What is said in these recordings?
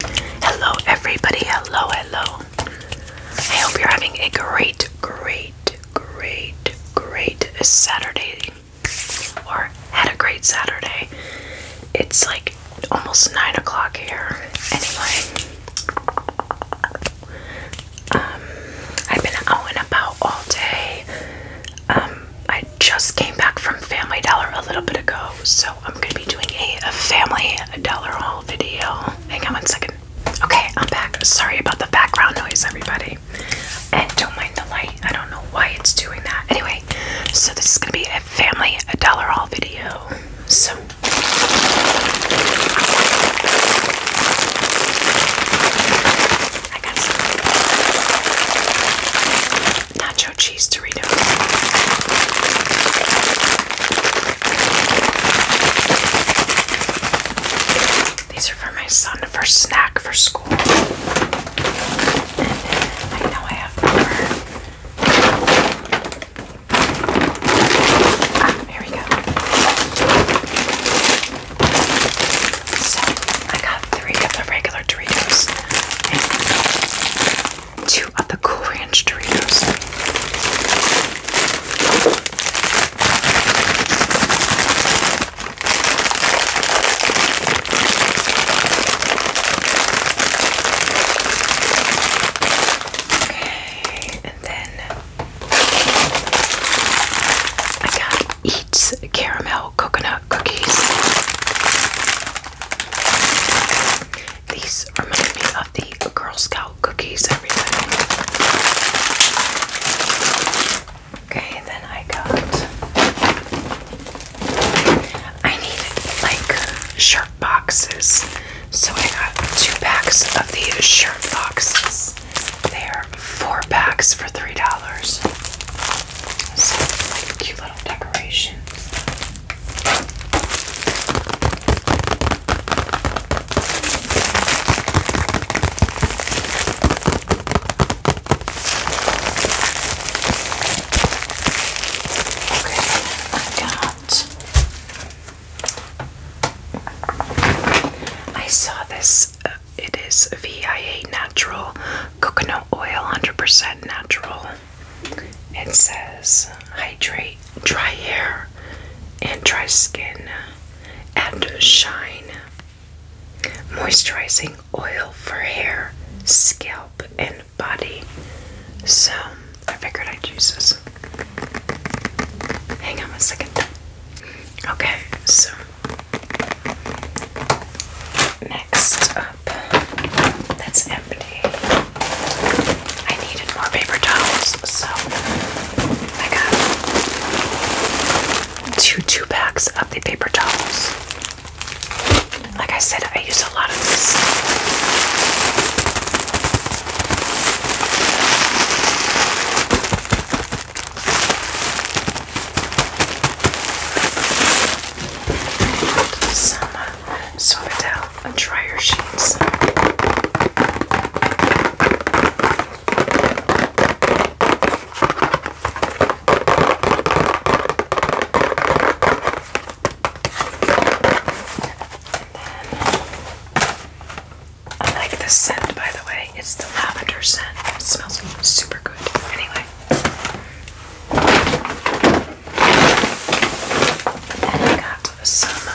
Hello, everybody. Hello, hello. I hope you're having a great, great, great, great Saturday or had a great Saturday. It's like almost nine o'clock here. Anyway, um, I've been out and about all day. Um, I just came back from Family Dollar a little bit ago, so I'm gonna be doing a, family dollar haul video. Hang on one second. Okay, I'm back. Sorry about the background noise, everybody. And don't mind the light. I don't know why it's doing that. Anyway, so this is gonna be a family dollar haul video. So nacho cheese Dorito. These are for my son for snack for school. I know I have more. Ah, here we go. So I got three of the regular Doritos two of the Cool Ranch Doritos. Okay, and then I got Eats Caramel Coconut Cookies. These remind me of the Girl Scout cookies, everybody. Okay, then I got. I need like shirt boxes. So I got two packs of the shirt boxes. They are four packs for $3. So, cute little decorations. Okay, I got. I saw this uh, it is VIA natural coconut oil, 100% natural. It says hydrate dry hair and dry skin and shine. Moisturizing oil for hair, scalp, and body. So I figured I'd use this. Hang on a second. Okay, so Next up, that's empty. I needed more paper towels, so I got two two packs of the paper towels. Like I said, I use a lot of this. And some uh, dryer sheets. I like this scent, by the way it's the lavender scent. It smells super good. Anyway. And I got some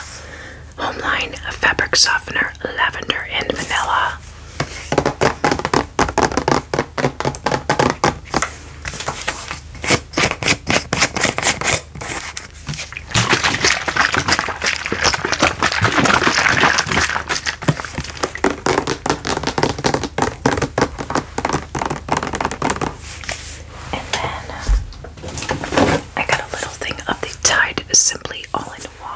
Homeline Fabric Softener Lavender and Vanilla. And then uh, I got a little thing of the Tide Simply All in One.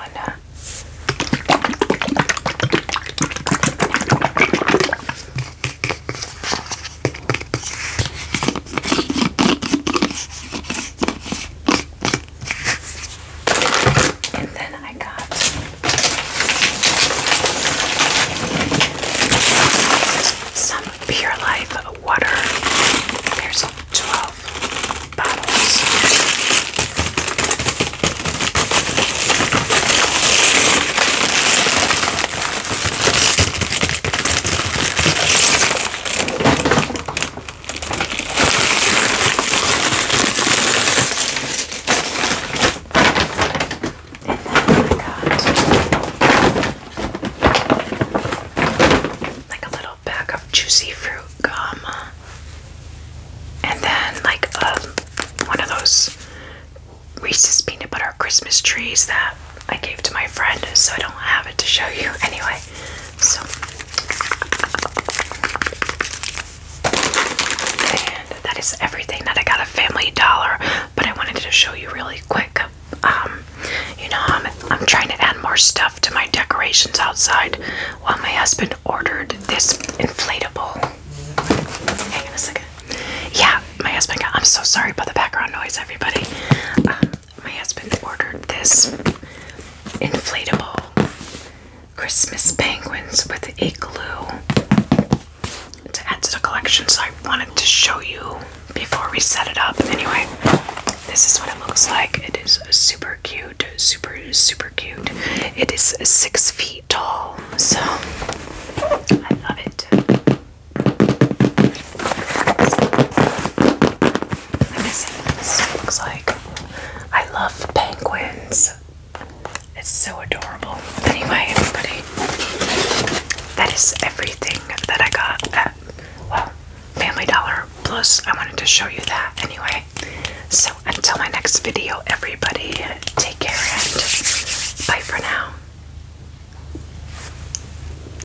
And then I got some Pure Life water. There's 12 bottles. And then I got like a little bag of juicy fruit gum. And then like a, um, one of those Reese's peanut butter Christmas trees that I gave to my friend, so I don't have it to show you anyway. So and that is everything that I got a Family Dollar, but I wanted to show you really quick. Um, you know, I'm, I'm trying to add more stuff to my decorations outside while my husband ordered this inflatable. Hang on a second. Yeah, my husband got. I'm so sorry about the background noise, everybody. Um, my husband ordered this inflatable Christmas penguins with igloo to add to the collection. So I wanted to show you before we set it up. Anyway, this is what it looks like. It is super cute, super, super cute. It is six feet tall, so I love it this looks like. I love penguins. It's so adorable. Anyway, everybody, that is everything that I got at, well, Family Dollar Plus. I wanted to show you that anyway. So until my next video, everybody, take care and bye for now.